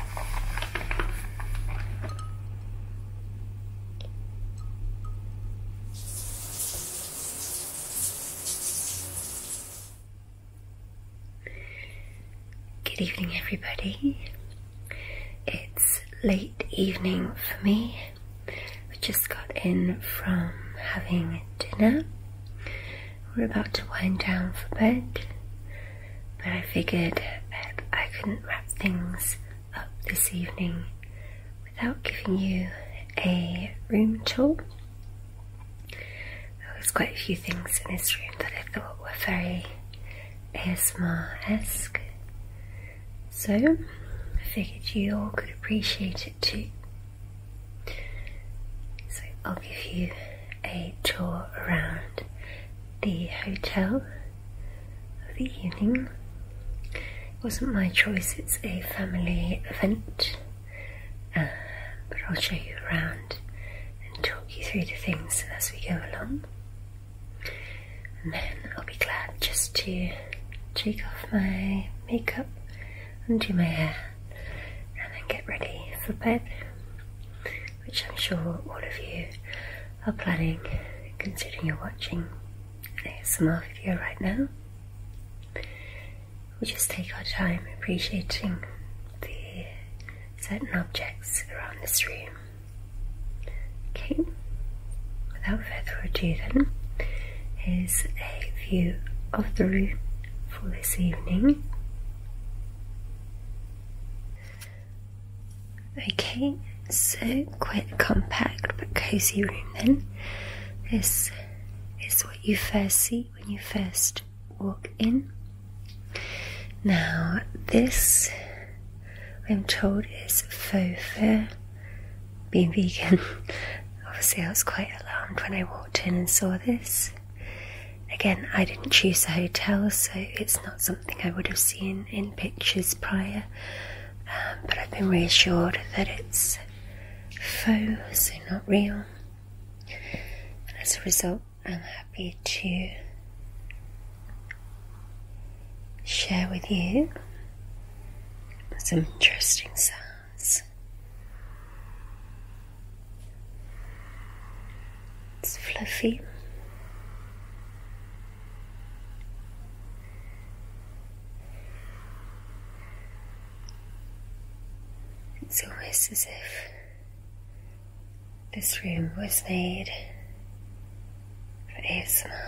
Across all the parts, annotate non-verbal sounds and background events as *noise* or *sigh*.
Good evening, everybody. It's late evening for me. We just got in from having dinner. We're about to wind down for bed but I figured that I couldn't wrap things up this evening without giving you a room tour. There was quite a few things in this room that I thought were very ASMR-esque, so I figured you all could appreciate it too. So I'll give you a tour around the hotel of the evening. It wasn't my choice, it's a family event, uh, but I'll show you around and talk you through the things as we go along. And then I'll be glad just to take off my makeup, undo my hair, and then get ready for bed which I'm sure all of you are planning, considering you're watching ASMR video right now. We just take our time appreciating the certain objects around this room. Okay, without further ado, then, here's a view of the room for this evening. Okay, so quite compact but cozy room then. This is what you first see when you first walk in. Now, this I'm told is faux fur. Being vegan, *laughs* obviously, I was quite alarmed when I walked in and saw this. Again, I didn't choose a hotel, so it's not something I would have seen in pictures prior, um, but I've been reassured that it's faux, so not real, and as a result, I'm happy to share with you some interesting signs. It's fluffy. It's almost as if this room was made for asthma.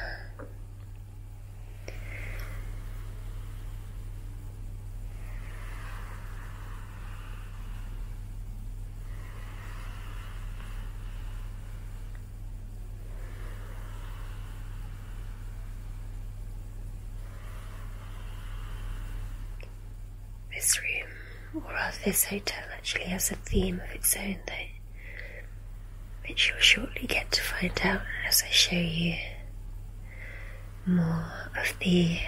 This room, or rather this hotel, actually has a theme of its own, though, which you'll shortly get to find out as I show you more of the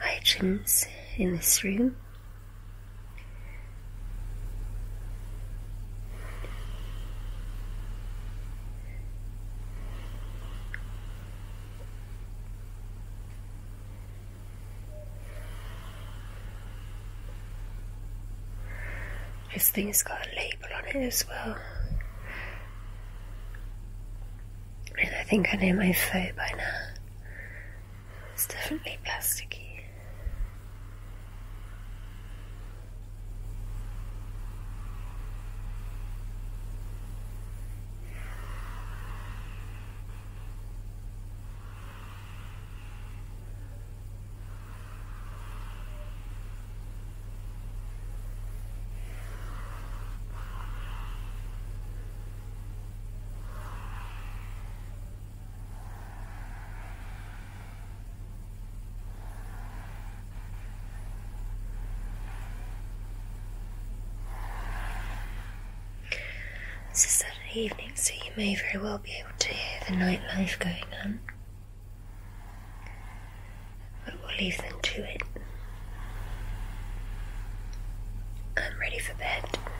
items in this room this thing's got a label on it as well. And I think I know my foe by now. It's definitely plasticky. It's a Saturday evening, so you may very well be able to hear the nightlife going on. But we'll leave them to it. I'm ready for bed.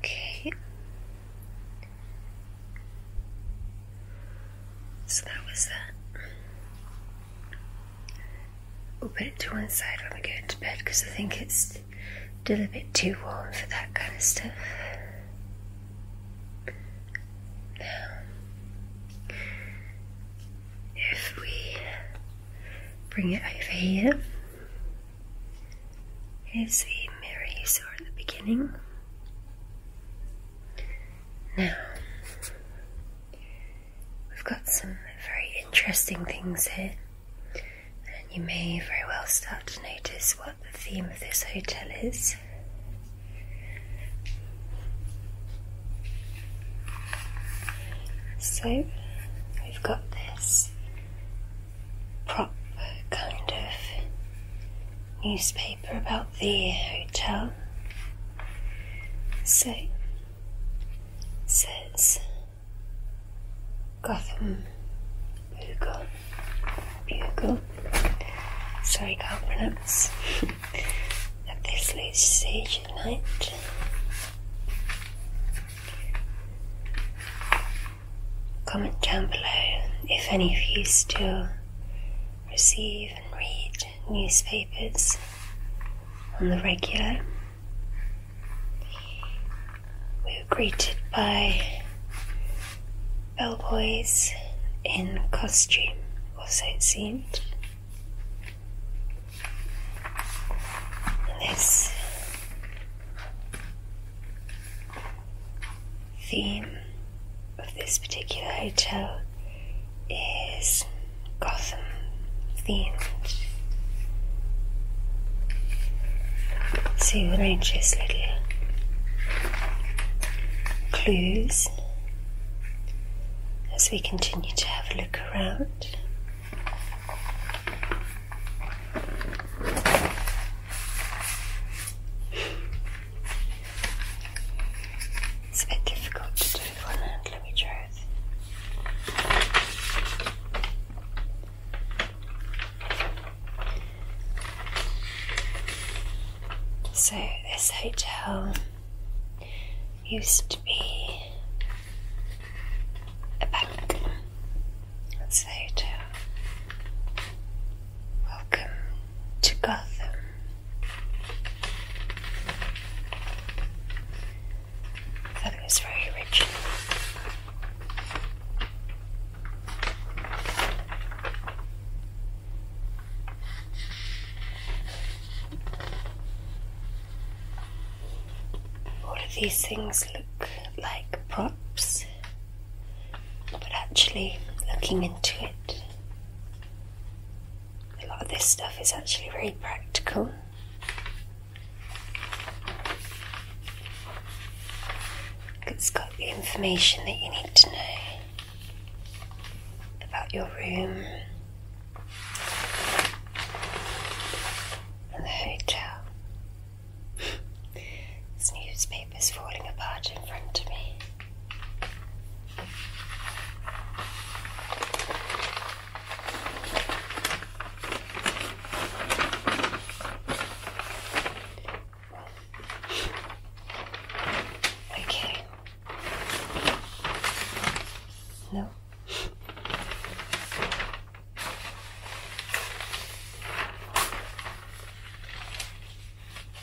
Okay. So that was that. We'll put it to one side when we go into bed because I think it's still a bit too warm for that kind of stuff. Now, if we bring it over here, here's the mirror you saw at the beginning. Now, we've got some very interesting things here, and you may very well start to notice what the theme of this hotel is. So we've got this prop kind of newspaper about the hotel. So it says Gotham Bugle Bugle. Sorry, can't pronounce. *laughs* At this Lucy Comment down below if any of you still receive and read newspapers on the regular. We were greeted by bellboys in costume, also it seemed this theme of this particular hotel is Gotham themed. So you arranges little clues as we continue to have a look look It's a bit difficult to do with one hand, let me So, this hotel used to be a bank. let Welcome to Gotham. Gotham is very rich. All of these things look like props, but actually, looking into it, a lot of this stuff is actually very practical. It's got the information that you need to know about your room, the hotel. newspaper's falling apart in front of me. Okay. No.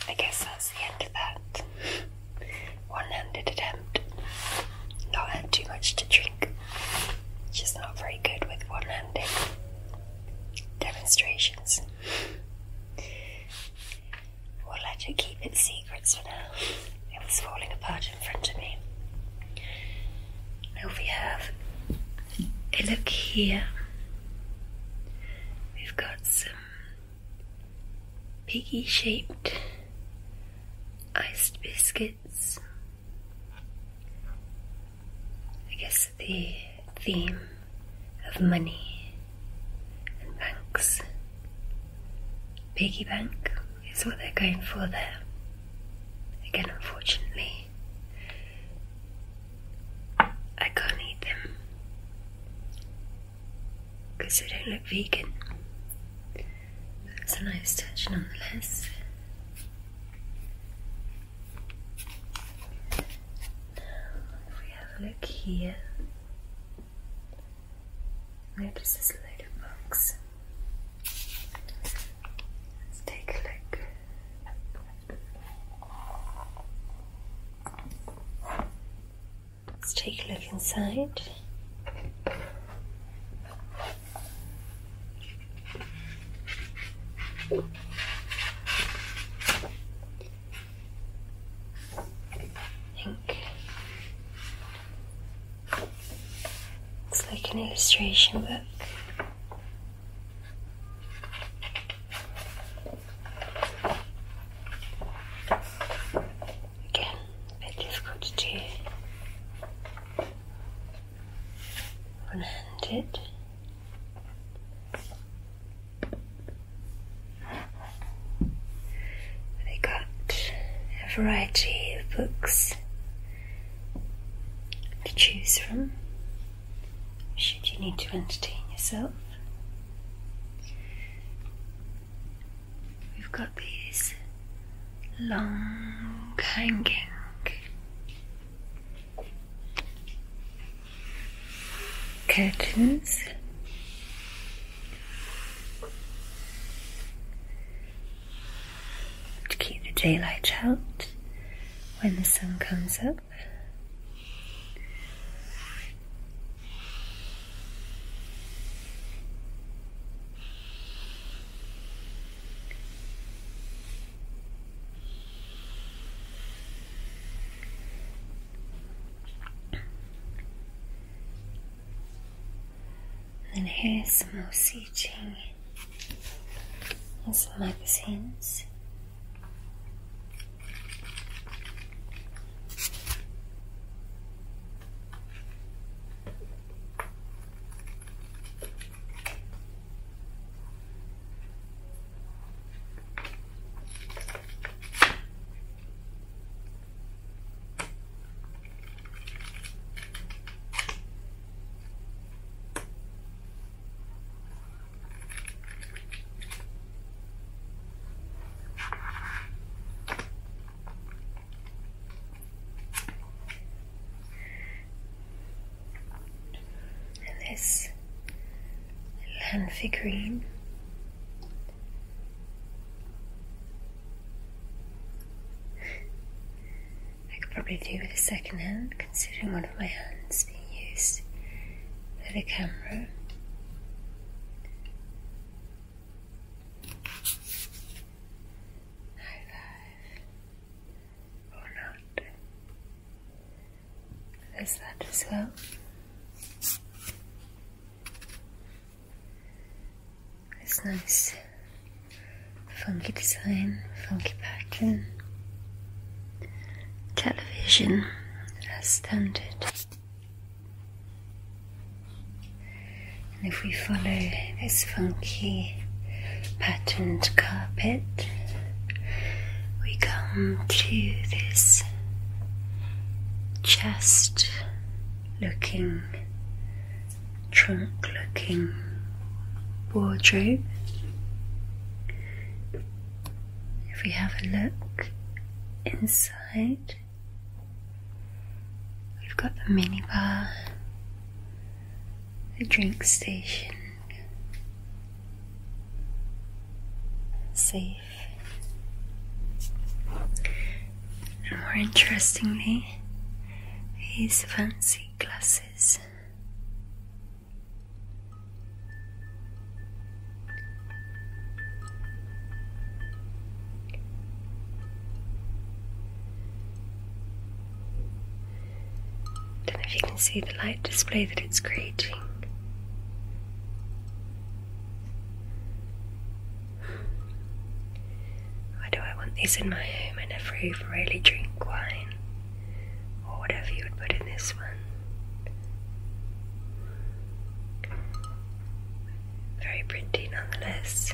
I guess that's the end of that. One handed attempt. Not had too much to drink. Just not very good with one handed demonstrations. We'll let it keep its secrets for now. It was falling apart in front of me. Now we have a look here. We've got some piggy shaped iced biscuits. I guess the theme of money and banks. Piggy bank. It's what they're going for there. Again, unfortunately, I can't eat them because they don't look vegan. But it's a nice touch nonetheless. Now, if we have a look here, there's a load of books. Let's take a look. Let's take a look inside. I it's like an illustration book. Again, a bit difficult to One handed. They got a variety of books to choose from should you need to entertain yourself. We've got these long hanging curtains to keep the daylight out when the sun comes up. And here is some more seating and some magazines. This land figurine I could probably do with a second hand, considering one of my hands being used for the camera. High five or not. There's that as well. It's nice. Funky design, funky pattern. Television as standard. And if we follow this funky patterned carpet, we come to this chest looking, trunk looking wardrobe. If we have a look inside, we've got the minibar, the drink station, safe and more interestingly, his fancy glasses. Don't know if you can see the light display that it's creating. Why do I want these in my home? I never really drink wine, or whatever you would put in this one. Very pretty nonetheless.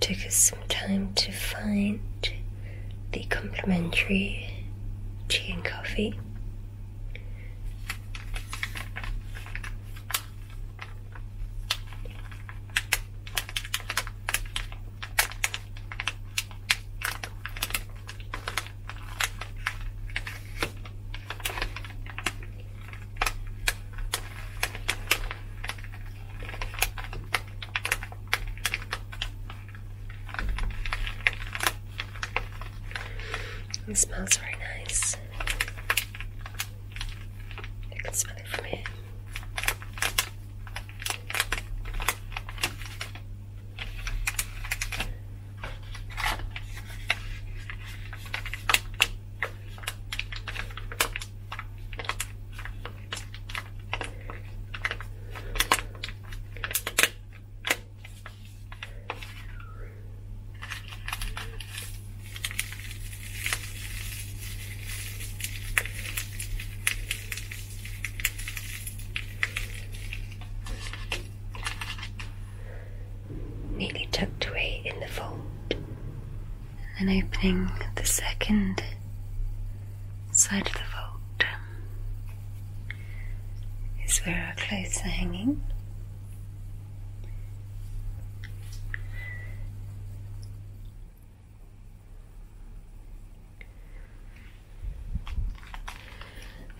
Took us some time to find the complimentary tea and coffee. It smells very nice. I can smell it from here. Neatly tucked away in the fold and then opening the second side of the vault is where our clothes are hanging.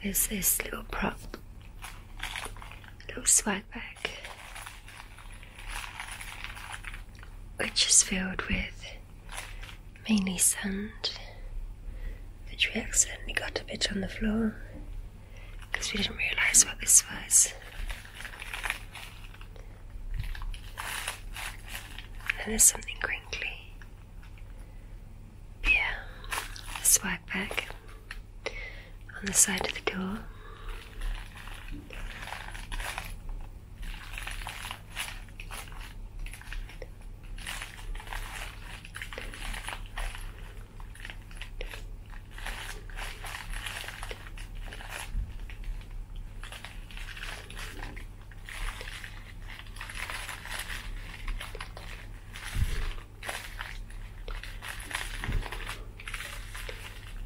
There's this little prop, little swag bag which is filled with mainly sand, which we accidentally got a bit on the floor because we didn't realise what this was. And there's something crinkly. Yeah, swag bag on the side of the door.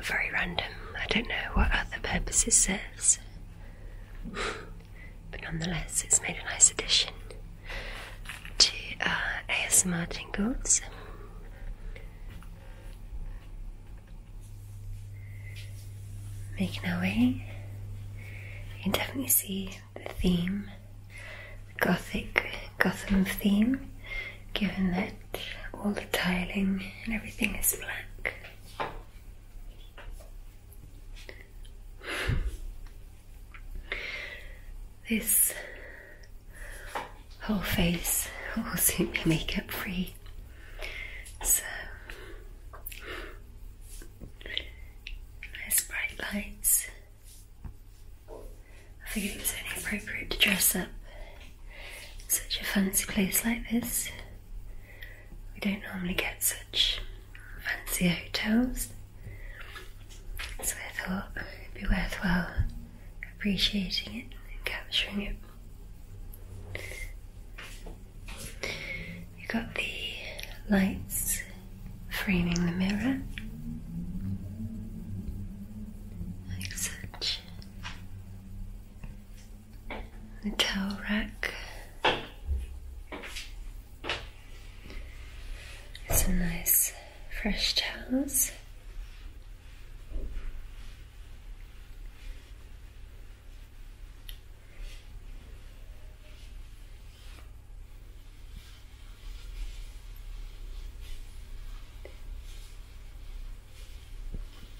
Very random. I don't know what other purpose it serves. *laughs* but nonetheless, it's made a nice addition to uh, AS Martin tingles. Making our way, you can definitely see the theme, the Gothic Gotham theme, given that all the tiling and everything is black. This whole face will soon be makeup free. So, nice bright lights. I figured it was only appropriate to dress up such a fancy place like this. We don't normally get such fancy hotels, so I thought it'd be worthwhile appreciating it and capturing it. You've got the lights framing the mirror, like such a towel rack. Some nice fresh towels.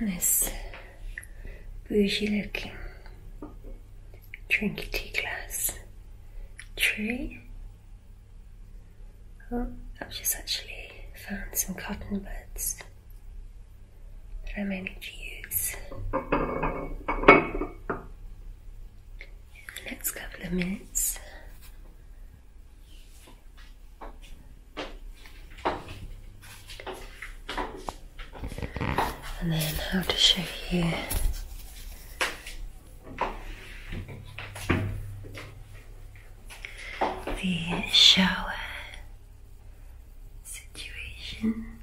This bougie looking tea glass tree. I've oh, just actually found some cotton buds that I'm going to use the next couple of minutes. And then I'll just show you the shower situation.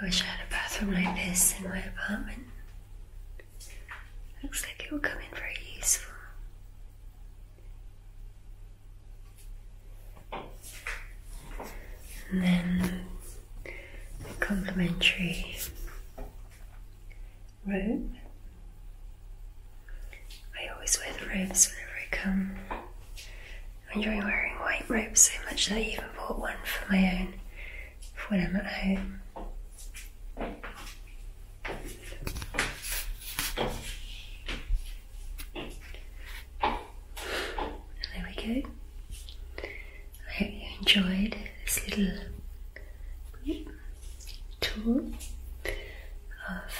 I wish I had a bathroom like this in my apartment. Looks like it will come in very useful. And then the complimentary robe. I always wear the robes whenever I come. I enjoy wearing white robes so much that I even bought one for my own when i at home. there we go. I hope you enjoyed this little tour of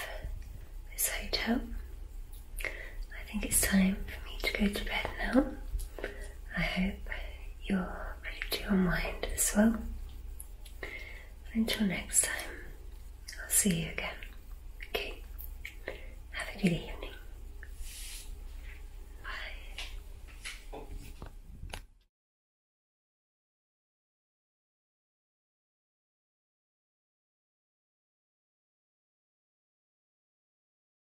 this hotel. I think it's time for me to go to bed now. I hope you're ready to your mind as well. Until next time, I'll see you again. Okay? Have a good evening. Bye.